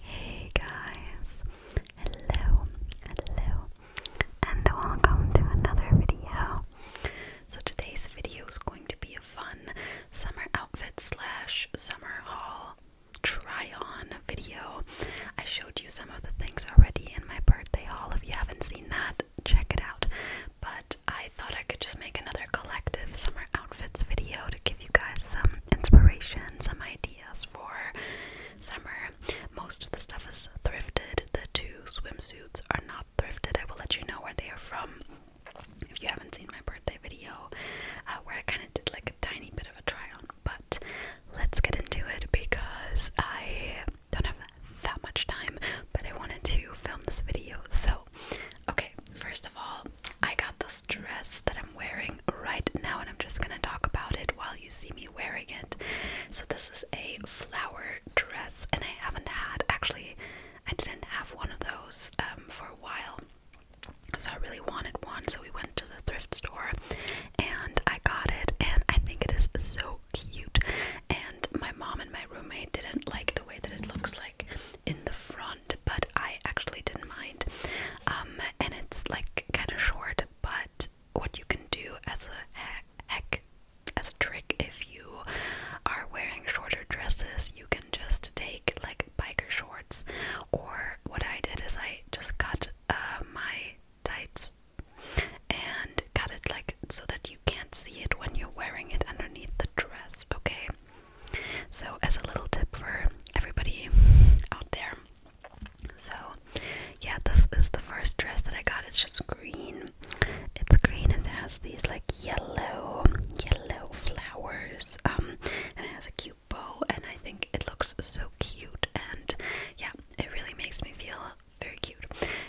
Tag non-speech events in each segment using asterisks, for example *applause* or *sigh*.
Hey guys, hello, hello, and welcome to another video. So today's video is going to be a fun summer outfit slash summer haul try on video. I showed you some of the things already in my birthday haul. If you haven't seen that, check it out. But I thought I could just make another collective summer outfits video give you guys some inspiration, some ideas for summer. Most of the stuff is thrifted. The two swimsuits are not thrifted. I will let you know where they are from if you haven't seen my birthday video, uh, where I kind of did like a tiny bit of a try on. But let's get into it because I don't have that much time, but I wanted to film this video. So, okay, first of all, I got this dress that I'm wearing right now, and I'm just gonna talk about it while you see me wearing it. So, this is a flower dress, and I haven't had actually, I didn't have one of those um, for a while, so I really wanted one. So, we went to the thrift store and I got it, and I think it is so cute. And my mom and my roommate didn't like the way that it looks like in the front but I actually didn't mind. Um, and it's like kind of short, but what you can do as a heck, as a trick, if you are wearing shorter dresses, you can just take like biker shorts. Or what I did is I just cut uh, my tights and cut it like so that you can't see it when you're wearing it underneath the dress. Okay. So, as a little tip for everybody out there. So, yeah, this is the first dress that I got. It's just green. It's green and it has these like yellow, yellow flowers. Um, and it has a cute bow, and I think it looks so cute. And yeah, it really makes me feel very cute.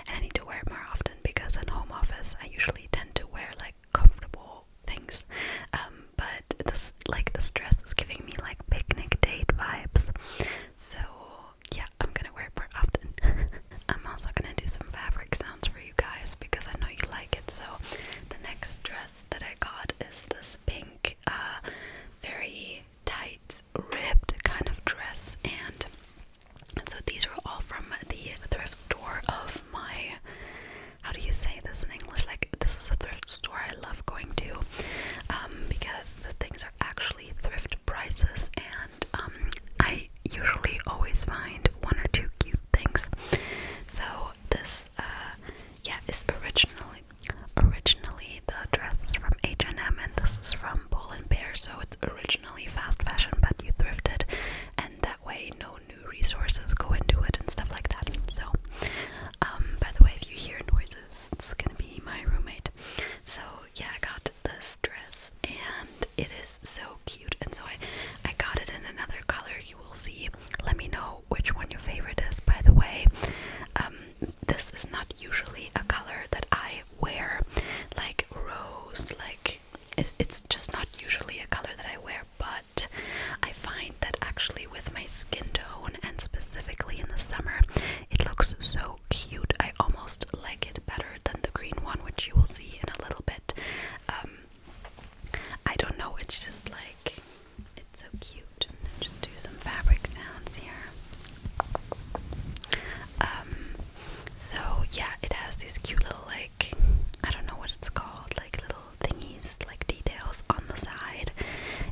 And I need to wear it more often because in home office I usually tend to wear like comfortable things. Um, but this, like, this dress is giving me like picnic date vibes. So yeah, I'm gonna wear it more often. *laughs* I'm also gonna do some fabric sounds for you guys because I know you like it. So the next dress that I got is this pink, uh, very tight, ribbed kind of dress, and so these are all from the thrift store of my. How do you say this in English? Like this is a thrift store I love going to, um, because the things are actually thrift prices, and um, I usually always find one or two cute things. So this, uh, yeah, is originally originally the dress from H and M, and this is from Pull and Bear. So it's originally fast fashion, but you thrifted, and way no new resources go into it and stuff like that. So, um, by the way, if you hear noises, it's gonna be my roommate. So, yeah, I got this dress and it is so cute. And so, I, I got it in another color you will see. Let me know which one your favorite is, by the way. Um, this is not usually a color that I wear, like rose, like it's just not usually a color that I wear, but I find that actually with my skin tone and specifically in the summer, it looks so cute. I almost like it better than the green one, which you will see in a little bit. Um, I don't know, it's just like it's so cute. Just do some fabric sounds here. Um, so yeah, it has these cute little like I don't know what it's called, like little thingies, like details on the side,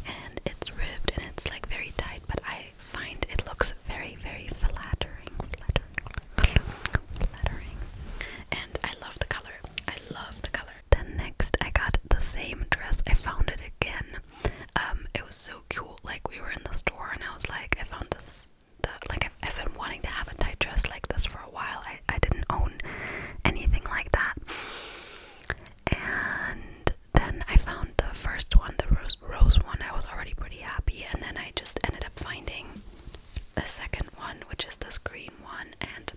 and it's ribbed and it's like very tight, but I find it looks very, very flattering, flattering, flattering. And I love the color. I love the color. Then next, I got the same dress. I found it again. Um, it was so cute. Like we were in the store, and I was like, I found this the like I've, I've been wanting to have a tight dress like this for a while. I I didn't own anything like that, and then I found the first one, the rose rose one. I was already pretty happy, and then I just ended up finding the second one, which is this green one, and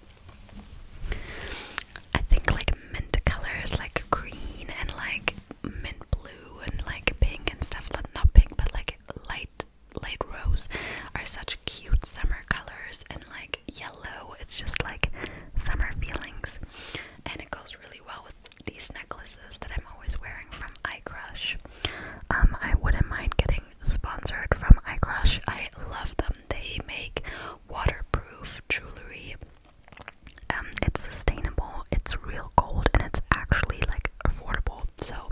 I think like mint colors, like green and like mint blue and like pink and stuff not pink but like light light rose are such cute summer colors and like yellow it's just like summer feelings and it goes really well with these necklaces that I'm always wearing from iCrush um I wouldn't mind getting sponsored from iCrush I love them they make waterproof jewelry um, it's sustainable, it's real gold, and it's actually like affordable. So,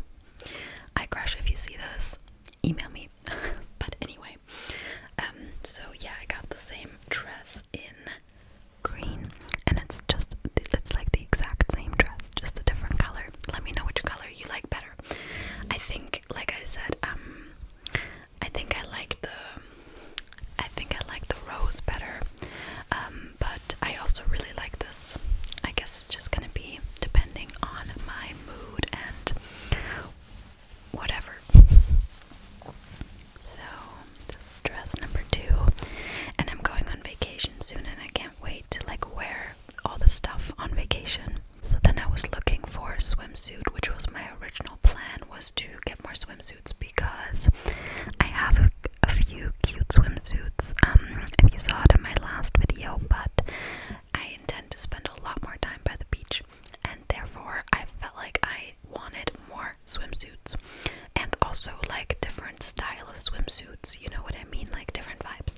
I crush if you see this, email me. *laughs* but anyway, um, so yeah, I got the same dress in green, and it's just it's like the exact same dress, just a different color. Let me know which color you like better. I think, like I said, um, I think I like the I think I like the rose better, um, but I also really like this. I guess it's just gonna be depending on my mood and whatever. So, this dress number two, and I'm going on vacation soon, and I can't wait to like wear all the stuff on vacation. So then I was looking for a swimsuit, which was my original plan was to get more swimsuits because I have a a few cute swimsuits um, you saw it in my last video, but I intend to spend a lot more time by the beach, and therefore I felt like I wanted more swimsuits and also like different style of swimsuits, you know what I mean? Like different vibes.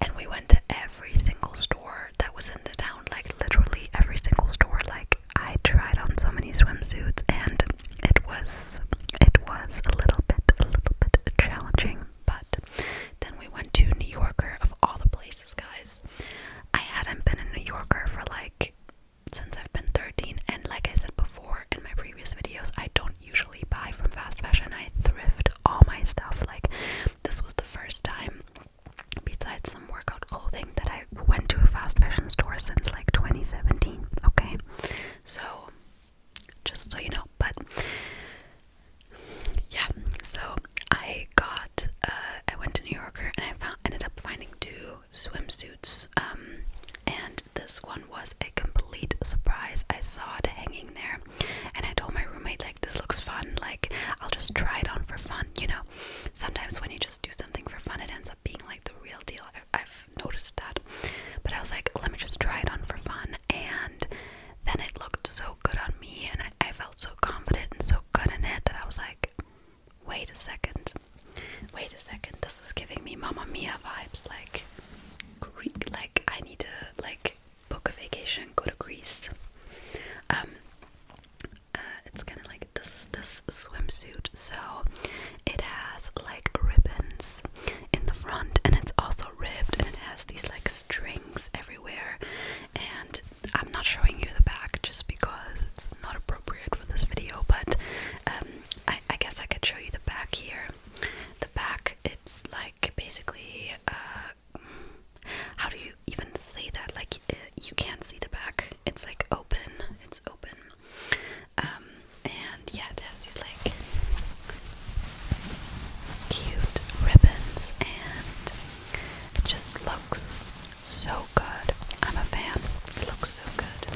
And we went to every single store that was in the town, like literally every single store, like I tried on so many swimsuits and it was it was a little bit a little bit challenging, but then we went to New Yorker of all the places, guys. I hadn't been a New Yorker for like since I've been 13 and like I said before in my previous videos, I don't usually buy from fast fashion. I thrift all my stuff. Like this was the first time besides workout clothing that I went to a fast fashion store since like 2017. Okay, so just so you know, but yeah, so I got uh, I went to New Yorker and I found ended up finding two swimsuits. Um, and this one was a complete surprise. I saw it hanging there, and I told my roommate, like, this looks fun, like, I'll just try it on for fun, you know. Sometimes when you just do something for fun, it ends up being like the real deal. I, have noticed that. But I was like, let me just try it on for fun. And then it looked so good on me, and I, felt so confident and so good in it that I was like, wait a second. Wait a second. This is giving me Mama Mia vibes. Like, Greek. Like, I need to, like, book a vacation, go to Greece. Um, uh, it's kind of like this this swimsuit. So it has like ribbons in the front, and it's also ribbed, and it has these like strings everywhere. And I'm not showing you the back just because it's not appropriate for this video, but um, I, guess I could show you the back here. The back, it's like basically. Uh, how do you even say that like uh, you can't see the back it's like open it's open um, and yeah it has these like cute ribbons and it just looks so good i'm a fan it looks so good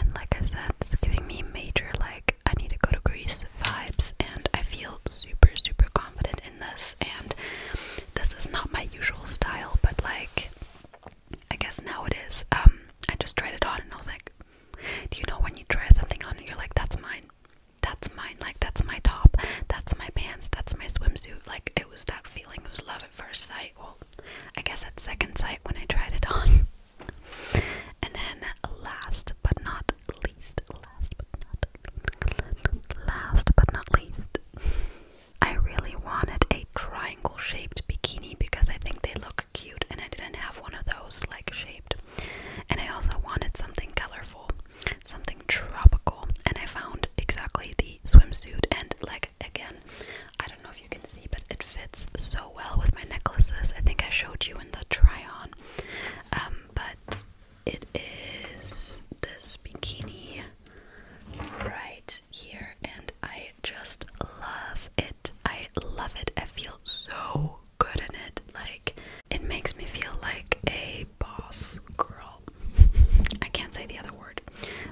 and like I said, it's giving me major like I need to go to Greece vibes, and I feel super, super confident in this. And this is not my usual style, but like I guess now it is. Um, I just tried it on, and I was like, do you know when you try something on you're like, that's mine, that's mine, like that's my top, that's my pants, that's my swimsuit. Like it was that feeling. It was love at first sight. Well, I guess at second sight when I tried it on. *laughs* And then last but not least, last but not last but not least, I really wanted a triangle-shaped bikini because I think they look cute and I didn't have one of those like shaped. And I also wanted something colorful, something tropical, and I found exactly the swimsuit and like again, I don't know if you can see but it fits so well with my necklaces. I think I showed you in the try on. Um, but it is this bikini right here, and I just love it. I love it. I feel so good in it. Like, it makes me feel like a boss girl. *laughs* I can't say the other word,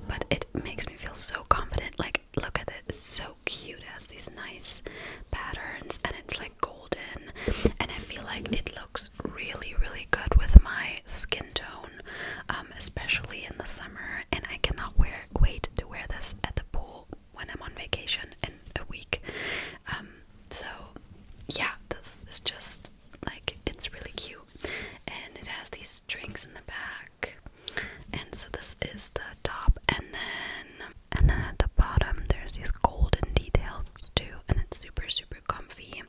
but it makes me feel so confident. Like, look at it, it's so cute. It has these nice patterns and it's like golden and I feel like it looks really really good with my skin tone um, especially in the summer and I cannot wear wait to wear this at the pool when I'm on vacation in a week. Um, so yeah, this is just like it's really cute and it has these strings in the back and so this is the top and then and then at the bottom there's these golden details too and it's super super comfy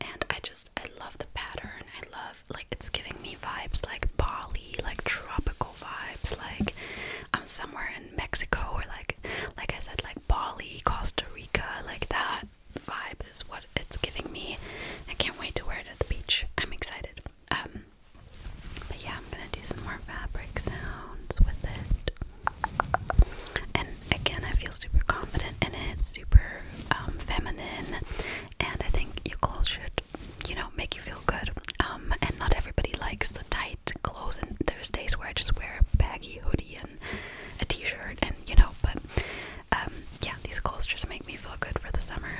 and I just I love the pattern. I love like it's giving me vibes like Bali, like tropical vibes, like I'm um, somewhere in Mexico or like like I said like Bali, Costa Rica, like that vibe is what it's giving me. I can't wait to wear it at the beach. I'm excited. Um, but yeah, I'm gonna do some more fabric sounds with it. And again, I feel super confident in it, super um, feminine, and I think your clothes should, you know, make you feel good. Um, and not everybody likes the tight clothes, and there's days where I just wear a baggy hoodie and a t-shirt, and you know, but um, yeah, these clothes just make me feel good for the summer.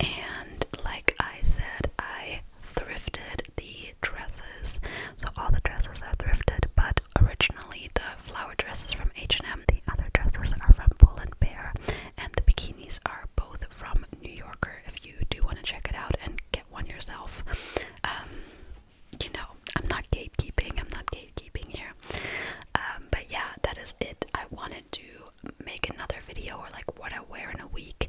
And like I said, I thrifted the dresses. So all the dresses are thrifted, but originally the flower dresses from H&M, the other dresses are from Pull and Bear, and the bikinis are both from New Yorker. If you do want to check it out and get one yourself, um, you know, I'm not gatekeeping. I'm not gatekeeping here. Um, but yeah, that is it. I wanted to make another video or like what I wear in a week,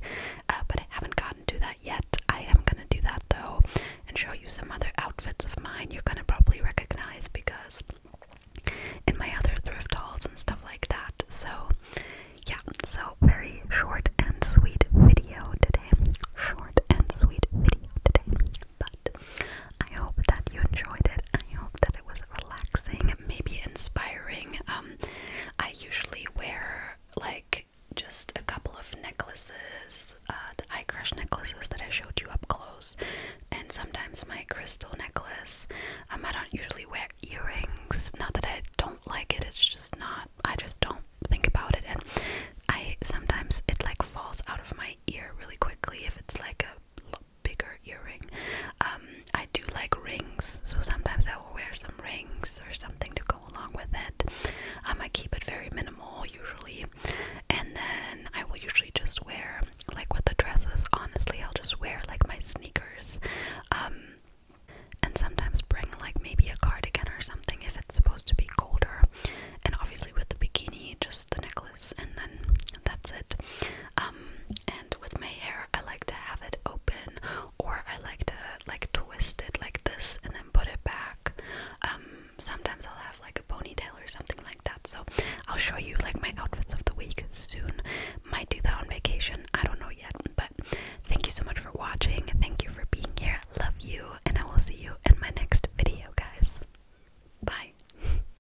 uh, but I haven't gotten to that yet. I am gonna do that though and show you some other outfits of mine you're gonna probably recognize because in my other thrift hauls and stuff like that. So, yeah, so very short and sweet video today. Short and sweet video today. But I hope that you enjoyed it it. I hope that it was relaxing, maybe inspiring. Um, I usually wear like just a couple of necklaces, uh, the eye crush necklaces that I showed you up close, and sometimes my crystal necklace. Um, I don't usually wear earrings. Not that I don't like it. It's just not. I just don't think about it, and I sometimes it like falls out of my ear really quickly if it's like a bigger earring. Um, I do like rings, so sometimes I will wear some rings or something to go along with it. Um, I keep it very minimal usually, and then I will usually just wear like with the dresses. Honestly, I'll just wear like my sneakers, um, and sometimes bring like maybe a cardigan or something if it's supposed to be colder. And obviously with the bikini, just the necklace, and then that's it. Um, and with my hair, I like to have it open, or I like to like twist it like this and then put it back. Um, sometimes I'll have like a ponytail or something like that. So I'll show you like my outfits of the week soon. Might do that on vacation. I don't know yet. But thank you so much for watching. Thank you for being here. Love you, and I will see you in my next video, guys. Bye. *laughs*